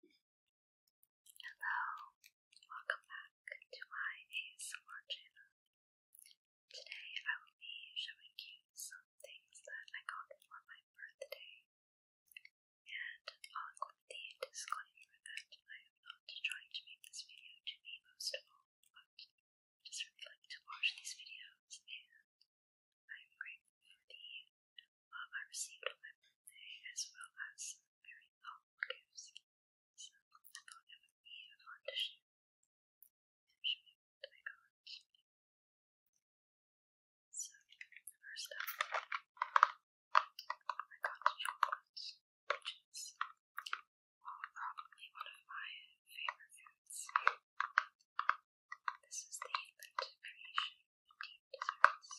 Hello, welcome back to my ASMR channel. Today I will be showing you some things that I got for my birthday. And I'll include the disclaimer that I am not trying to make this video to be boastful, but just really like to watch these videos and I'm grateful for the while I received on my birthday as well as very thoughtful gifts, so I thought it would be a fun to share and show you what I got. So, first up, I got chocolate, which is probably one of my favorite foods. This is the Lent Creation Deep Desserts.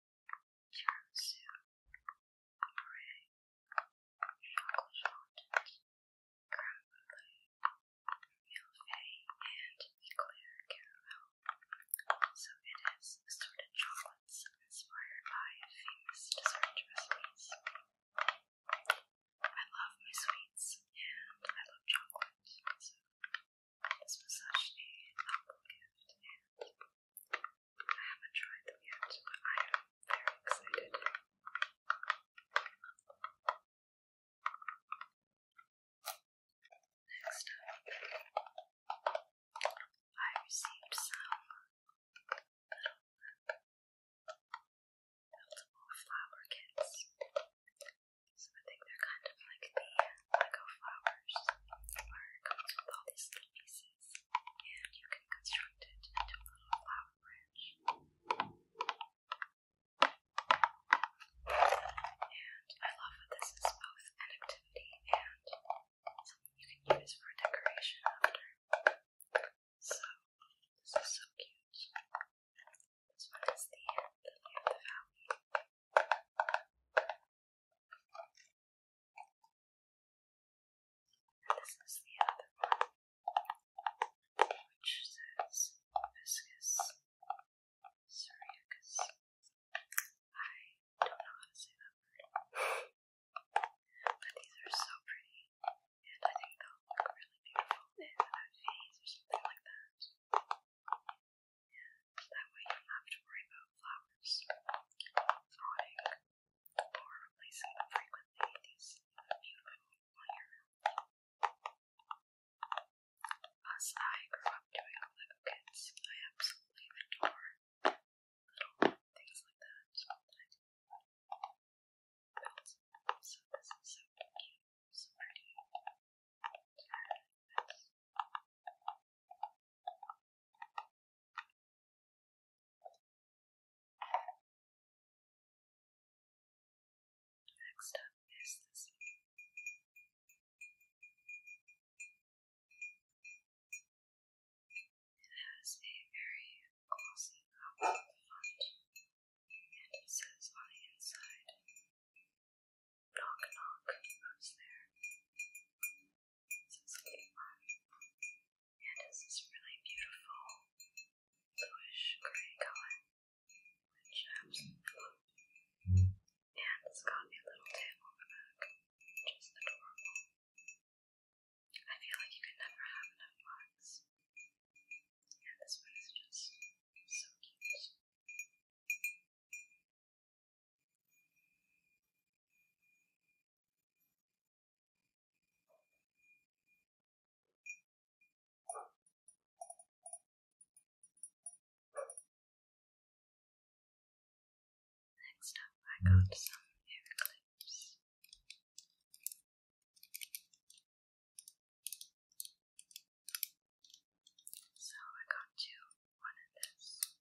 Cancer, Prey, Uncle Fountains, Creme Brulee, and Eclair Caramel. So it is assorted chocolates inspired by famous dessert recipes. I love my sweets and I love chocolate, so this was such a helpful gift I haven't tried them yet, I am very excited. Next up, I received some little flower kits. So I think they're kind of like the Lego flowers, where it with all these little pieces and you can construct it into a little flower branch. And I love that this is both an activity and something you can use for decoration after. So, this is so cute. This one is the Lily of the Valley this is the other one, which says viscous Suriacus. I don't know how to say that word. But these are so pretty, and I think they'll look really beautiful in a vase or something like that that way you don't have to worry about flowers rotting or replacing them frequently. These beautiful minor As I grew up doing all kits, I absolutely adore little things like that. So this is so cute, so pretty. Next up is this one. It has a very glossy copper front, and it says on the inside, Knock, knock. Who's there? Says Levi. And it's this really beautiful bluish gray color, which I absolutely love. And it's got a little tail on the back, just is adorable. I feel like you could never have enough mugs. And this one is just so cute. Next up, I got mm. some hair clips. So I got two, one of this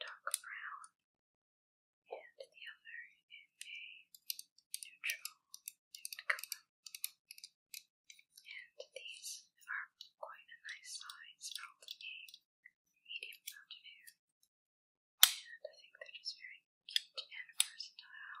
dark brown, and the other in a neutral nude color. And these are quite a nice size, probably a medium amount of hair. And I think they're just very cute and versatile.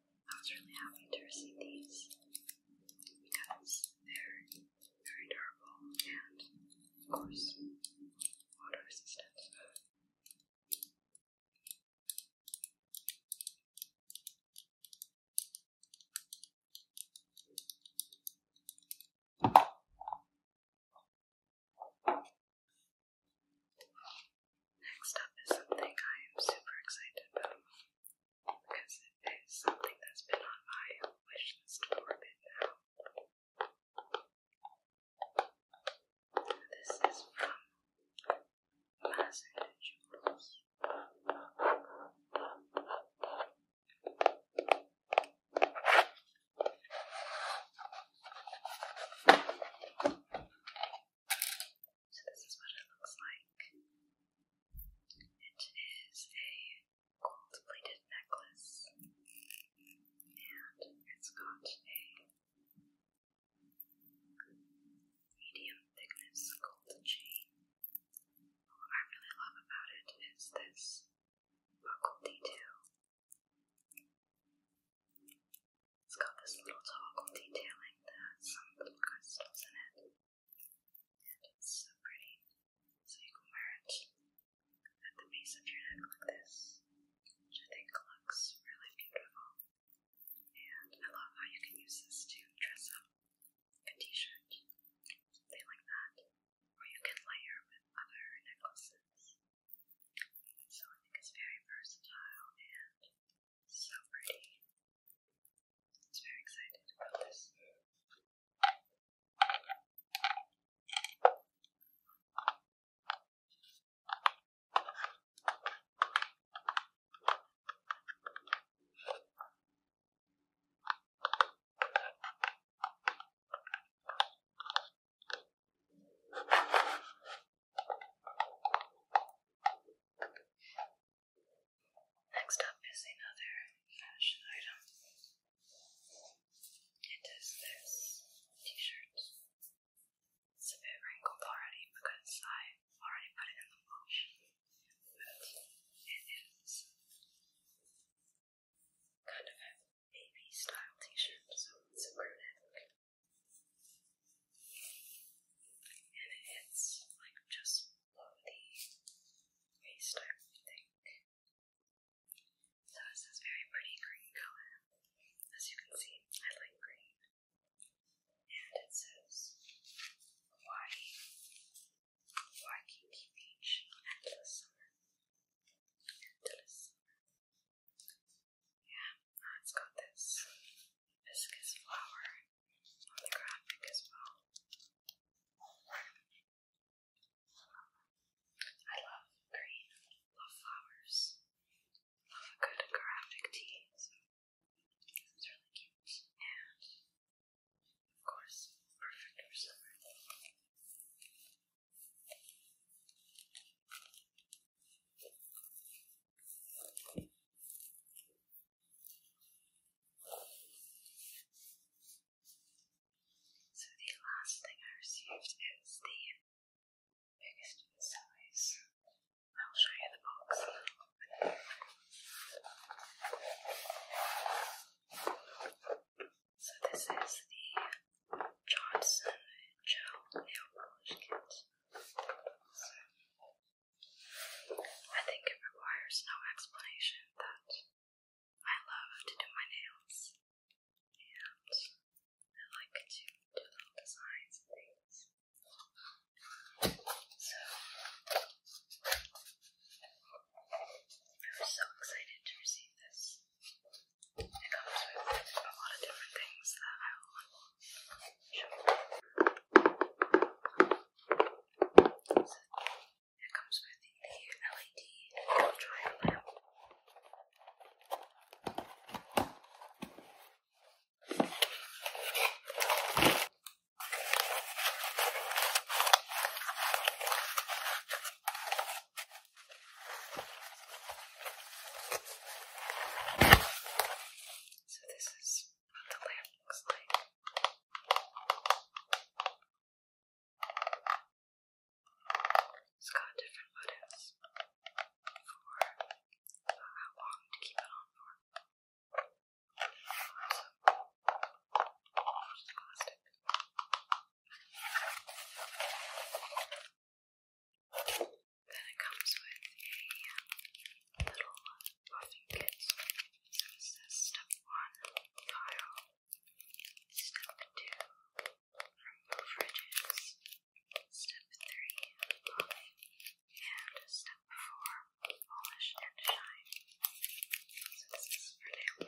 I was really happy to receive these because they're very durable and, of course, water resistant. Next up is something I am super excited about because it is something that's been on my wish list for a bit now. This is from Master so this is what it looks like. It is a gold plated necklace, and it's got a medium thickness gold chain. What I really love about it is this buckle detail. It's got this little toggle detailing that has some little crystals in it. And it's so pretty. So you can wear it at the base of your neck like this, which I think looks really beautiful. And I love how you can use this to dress up a t-shirt, something like that. Or you can layer with other necklaces. So I think it's very versatile and so pretty. I was very excited about this. Next up is another fashion item. It is this t-shirt. It's a bit wrinkled already because I already put it in the wash. But it is kind of a baby style t-shirt, so it's a crew neck. And it's like just below the waist, I think. So it's this very pretty green color. As you can see, I like green. And it says Hawaii, Waikiki Beach, endless summer, endless Yeah, it's got this viscous flower on the graphic as well. I love green, love flowers, love a good graphic tea, so really cute. And of course, perfect for summer. So the last thing I received is the biggest in size. I will show you the box. So this is the Johnson Gel Nail Polish Kit. I think it requires no explanation that I love to do my nails and I like to do little designs and things. So, I was so excited to receive this. It comes with a lot of different things that I will it comes with the LED dry lamp. It so this is what the lamp looks like. It's got different buttons for how long to keep it on for. Just plastic. Then it comes with a little buffing kit. So it says step one, file. Step two, remove ridges. Step three, buffing. And step four, polish and shine. So this is for nail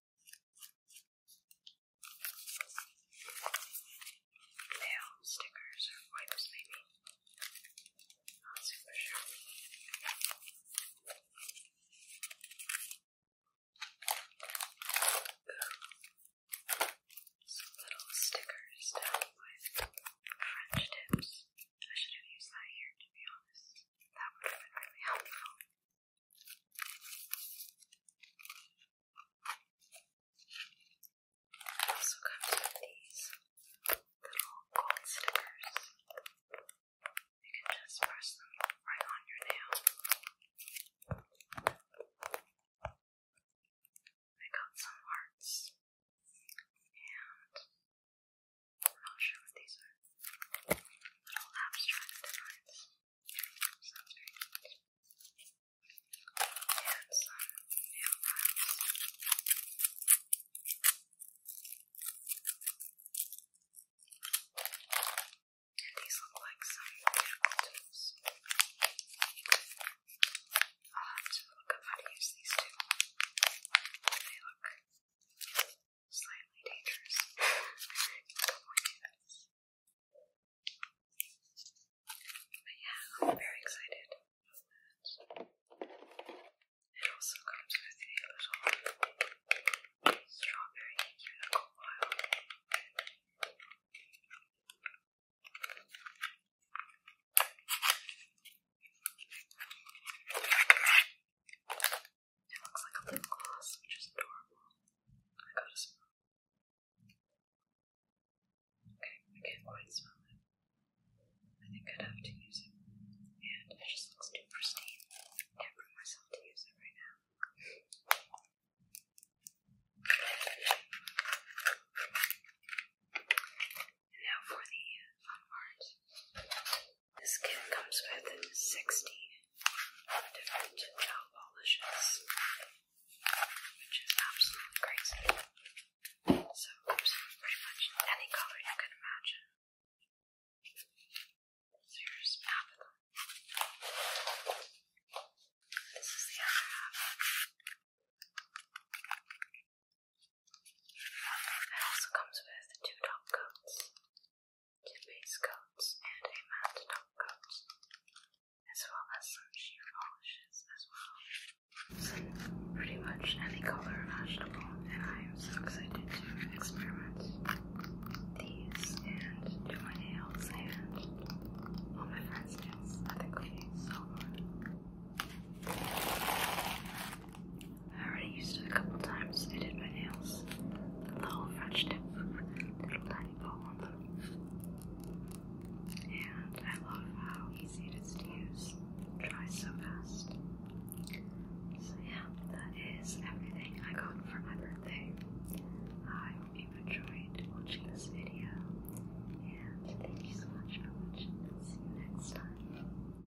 Nail stickers or wipes, maybe. Not super sure. Some little stickers down with French tips. I should have used that here, to be honest. That would have been really helpful also comes with these little gold stickers. You can just press them right on your nail. I got some hearts I'm not sure what these are. Little abstract designs. Sounds very these look like some beautiful tools. I'll have to look up how to use these two. They look slightly dangerous. but yeah, very excited It also comes with a little strawberry unicorn it looks like a lip gloss, which is adorable. I gotta smell Okay, I can't quite smell it. I think I'd have to use it. And it just looks too pristine. can't bring myself to use it right now. And now for the fun part. This kit comes with 60 different nail polishes, which is absolutely crazy. So, comes pretty much any color you can imagine. So, here's half of them. This is the other half. It also comes with two top coats, two base coats, and a matte top coat, as well as some shoe polishes as well. So pretty much any color imaginable, and I am so excited to experiment these and do my nails and all my friends' nails. I think we need so fun. I already used it a couple times. I did my nails. little French tip, little tiny ball on them. And I love how easy it is to use. dries so fast. So yeah, that is everything I got for my birthday. I hope you enjoyed watching this video. And thank you so much for watching. See you next time.